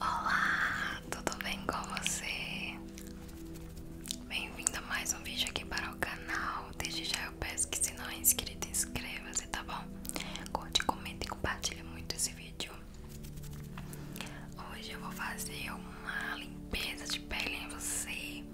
Olá, tudo bem com você? Bem-vindo a mais um vídeo aqui para o canal. Desde já eu peço que se não é inscrito, inscreva-se, tá bom? Curte, comenta e compartilha muito esse vídeo. Hoje eu vou fazer uma limpeza de pele em você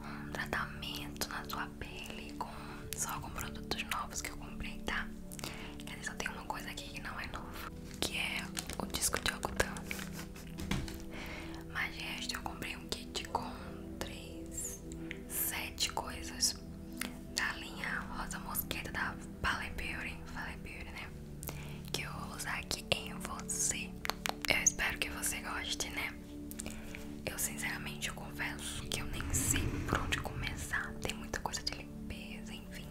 um tratamento na tua pele com, só com produtos novos que eu comprei, tá? Quer dizer, só tem uma coisa aqui que não é novo, que é o disco de algodão. Mas resto eu comprei um kit com três, sete coisas da linha Rosa Mosqueta da Fale Beauty, Fale Beauty, né? Que eu vou usar aqui em você. Eu espero que você goste, né? Eu sinceramente eu confesso que eu nem sei por onde começar. Tem muita coisa de limpeza, enfim.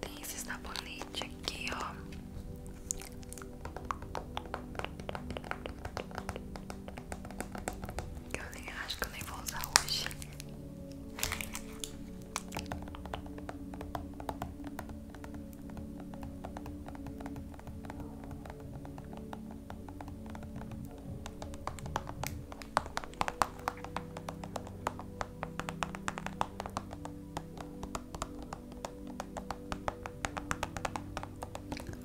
Tem esse sabonete aqui, ó. Que eu nem acho que eu nem vou usar hoje.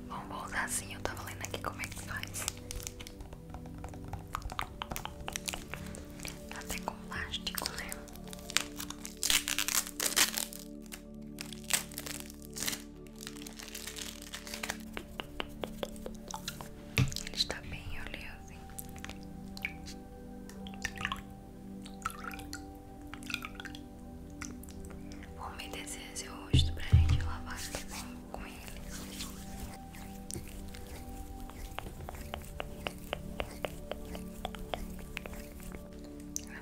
Bom, vou usar assim, eu tava lendo aqui como é que faz até com plástico, né? Ele está bem oleoso, hein? me umedecer seu rosto pra gente lavar também. Né? com ele.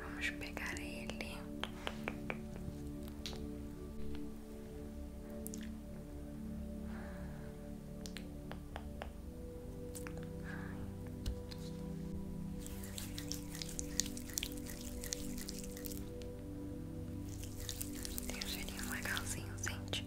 vamos pegar ele. Tem um cheirinho legalzinho, gente.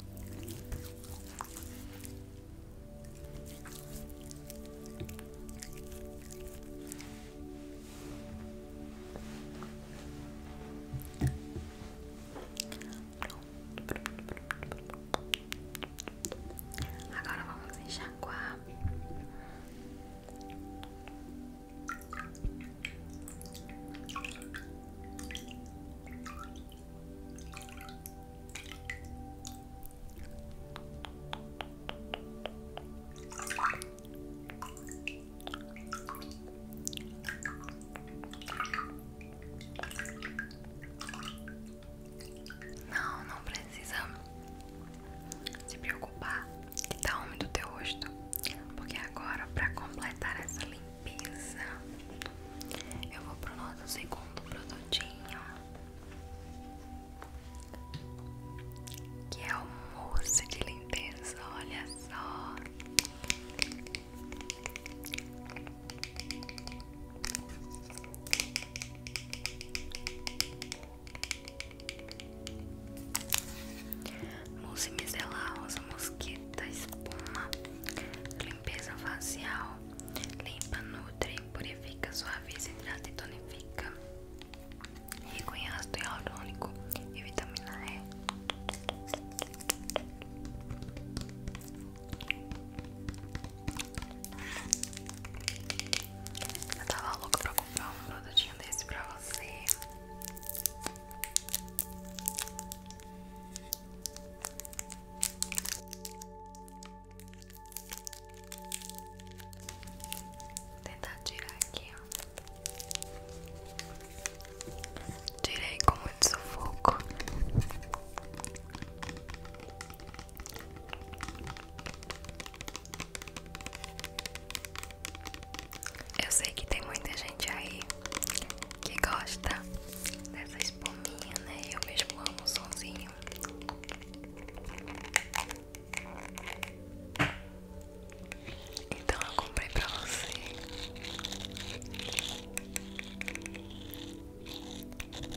Agora vamos enxaguar. Não, não precisa se preocupar que tá úmido o teu rosto, porque agora para completar essa linha pizza. Eu vou pro nosso segundo produtinho, que é o mousse de lenteza. Olha só mousse micelar, rosa mosquita, espuma, limpeza facial, limpa, nutre, purifica, suaviza, hidrata e tonifica, rico em ácido hialurônico e vitamina E. Eu tava louca pra comprar um produtinho desse pra você tentar tirar aqui, ó. Tirei com muito sufoco. Eu sei que tem muita gente gente aí que gosta dessa espuminha, né? Eu mesmo amo o sonzinho. Então eu comprei pra você.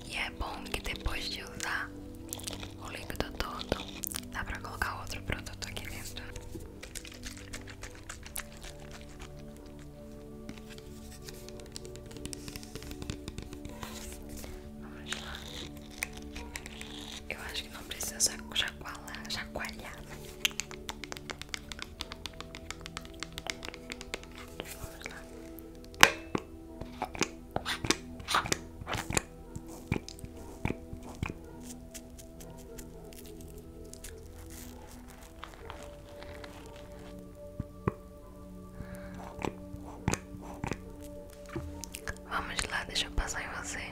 E é bom que depois de usar o líquido todo, dá pra colocar outro produto aqui dentro. Vamos lá. Eu acho que não precisa chacoalhar, chacoalhar. Né? Vamos lá. Vamos lá, deixa eu passar em você.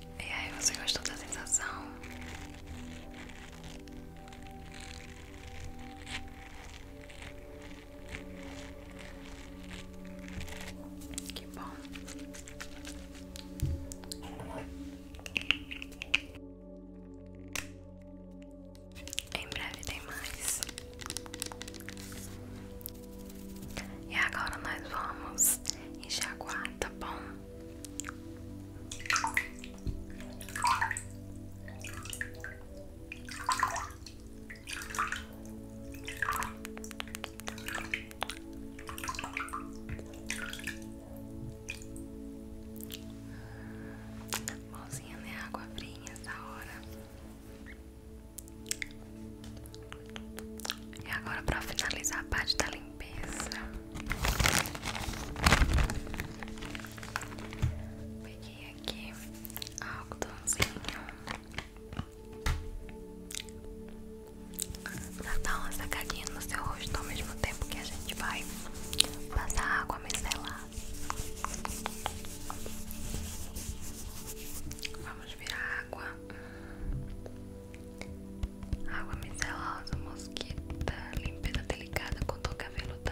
E aí, você gostou da sensação? Que bom. Em breve tem mais. E agora nós vamos enxaguar, tá bom? Mãozinha, né? Água fria da hora. E agora, para finalizar a parte da tá limpeza limpeza. Peguei aqui algodãozinho. Pra dar uma sacadinha no seu rosto ao mesmo tempo que a gente vai passar água micelar. Vamos virar água. Água micelosa, mosquita, limpeza delicada com toque aveludado.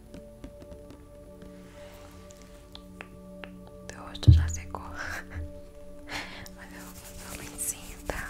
Teu rosto já secou. Olha o meu lencinho, tá?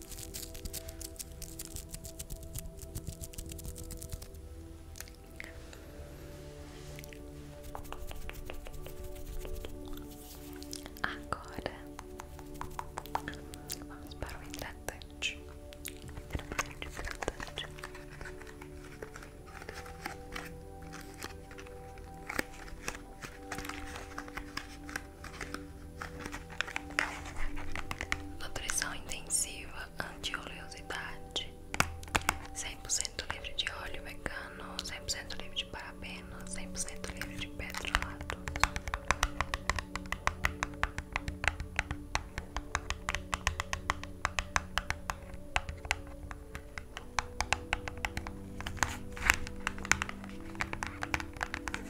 Agora vamos para o hidratante. Hidratante, hidratante. Nutrição intensiva, anti-oleosidade, cem por cento livre de óleo cem por cento livre de cem por cento livre de petrolato.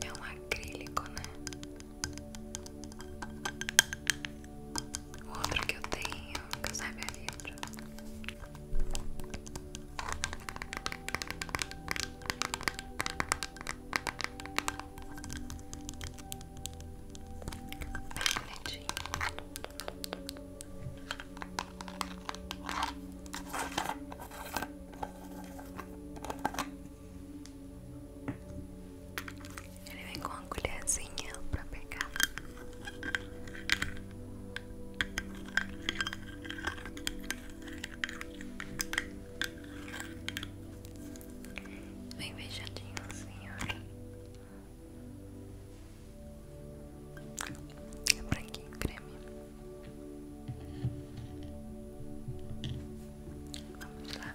É um acrílico, né? O outro que eu tenho, que eu sabia ele vem com uma colherzinha pra pegar vem beijadinho, senhor É branquinho creme. Vamos lá.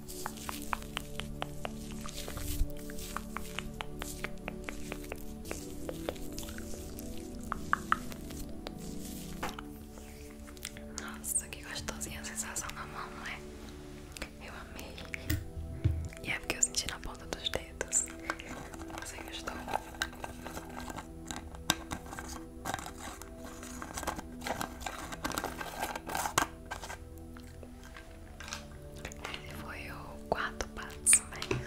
Nossa, que gostosinha a sensação na mão, né? Eu amei. E é porque eu senti na ponta dos dedos. Você assim, gostou? Esse foi o quarto passo, né?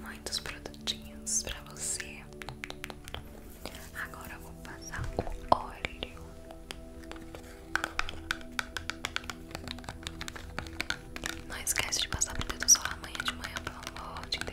Muitos produtinhos pra você. Agora vou passar o óleo. Não esquece de passar por dentro só amanhã de manhã, pelo amor de Deus.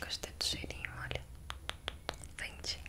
Gostei do cheirinho, olha. Ventinho.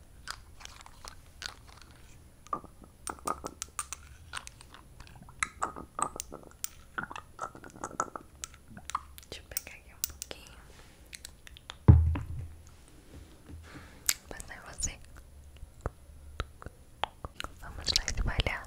Deixa eu pegar aqui um pouquinho. Vou passar é você. Vamos lá espalhar.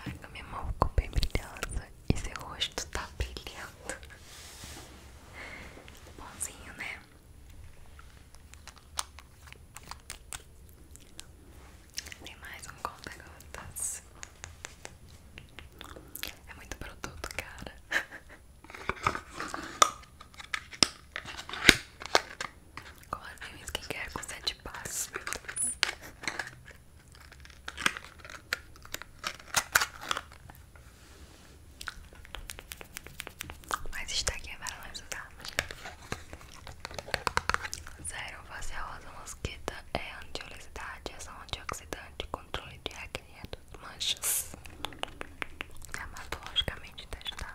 Caraca, minha mão ficou bem brilhosa e seu rosto tá brilhando. Bonzinho, né? Tem mais um conta-gotas. É muito produto, cara. Coloquei é que skincare com sete passos, mas isso daqui é para me ajudar. Zero facialosa mosquita é é ação antioxidante, controle de acne e é dos manchas. Dermatologicamente é testado.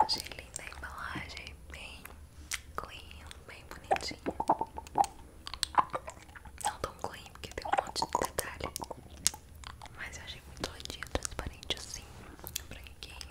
Achei linda a embalagem, bem clean, bem bonitinha. Não tão clean porque tem um monte de detalhe. Mas eu achei muito lindinho, transparente assim, branquinho.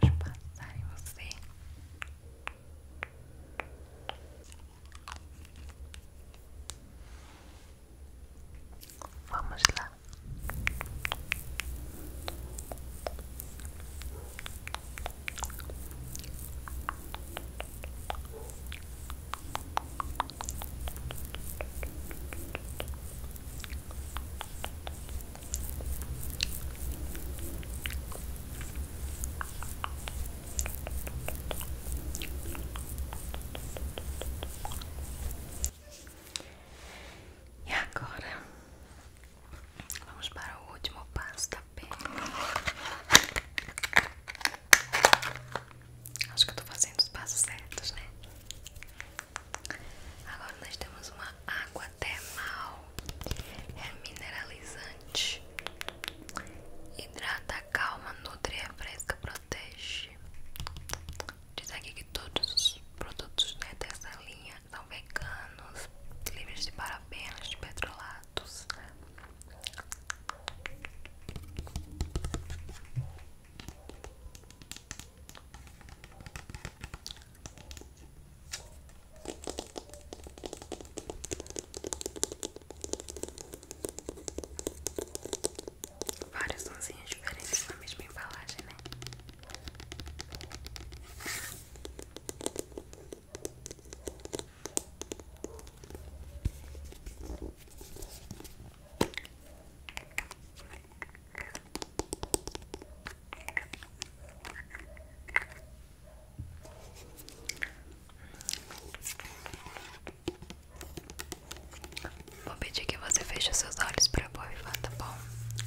Vamos passar em você. Vamos lá. E agora vamos para o último passo da pele. Acho que eu tô fazendo os passos certos, né? Agora nós temos uma água termal é mineralizante, hidrata, calma, nutre, é fresca, protege. Diz aqui que todos os produtos né, dessa linha são veganos, livres de parabenos, de petrolatos. Vários sonzinhos diferentes na mesma embalagem, né? Vou pedir que você feche seus olhos para povoar, tá bom?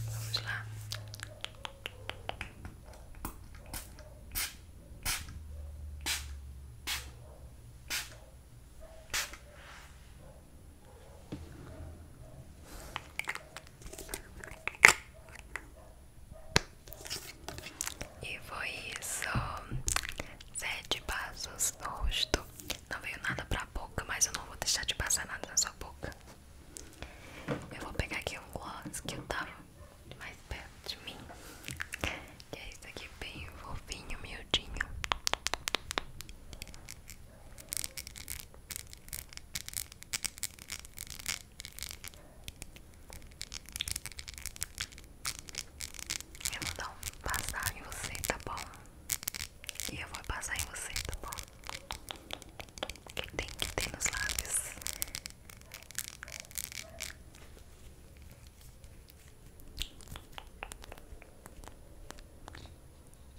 Vamos lá. E foi isso. Sete passos no rosto. Não veio nada pra boca, mas eu não vou deixar de passar nada na sua boca. Eu vou pegar aqui um gloss que eu tava mais perto de mim. Que é isso aqui bem fofinho, miudinho. Eu vou dar um passar em você, tá bom? E eu vou passar em você, tá bom? Que tem que ter nos lábios.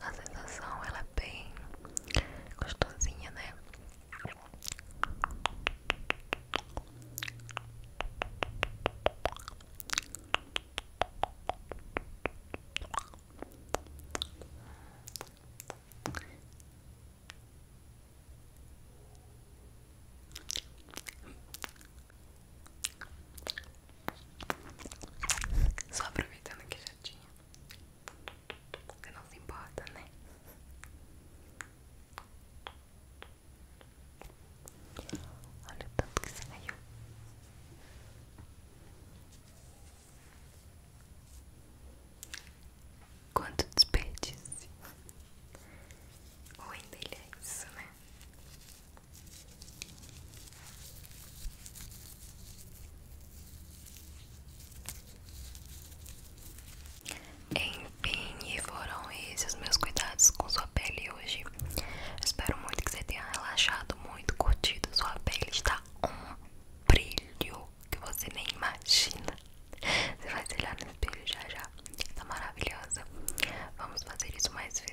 a sensação ela é bem gostosinha, né? Só aproveitando que já tinha. Você não se importa, né? Olha o tanto que saiu. Quanto desperdício. Ou ainda ele é isso, né? Enfim, e foram esses meus cuidados com sua pele hoje. Espero muito que você tenha relaxado muito, curtido. Sua pele está um brilho que você nem imagina. Você vai se olhar no espelho já já. Está maravilhosa. Vamos fazer isso mais vezes.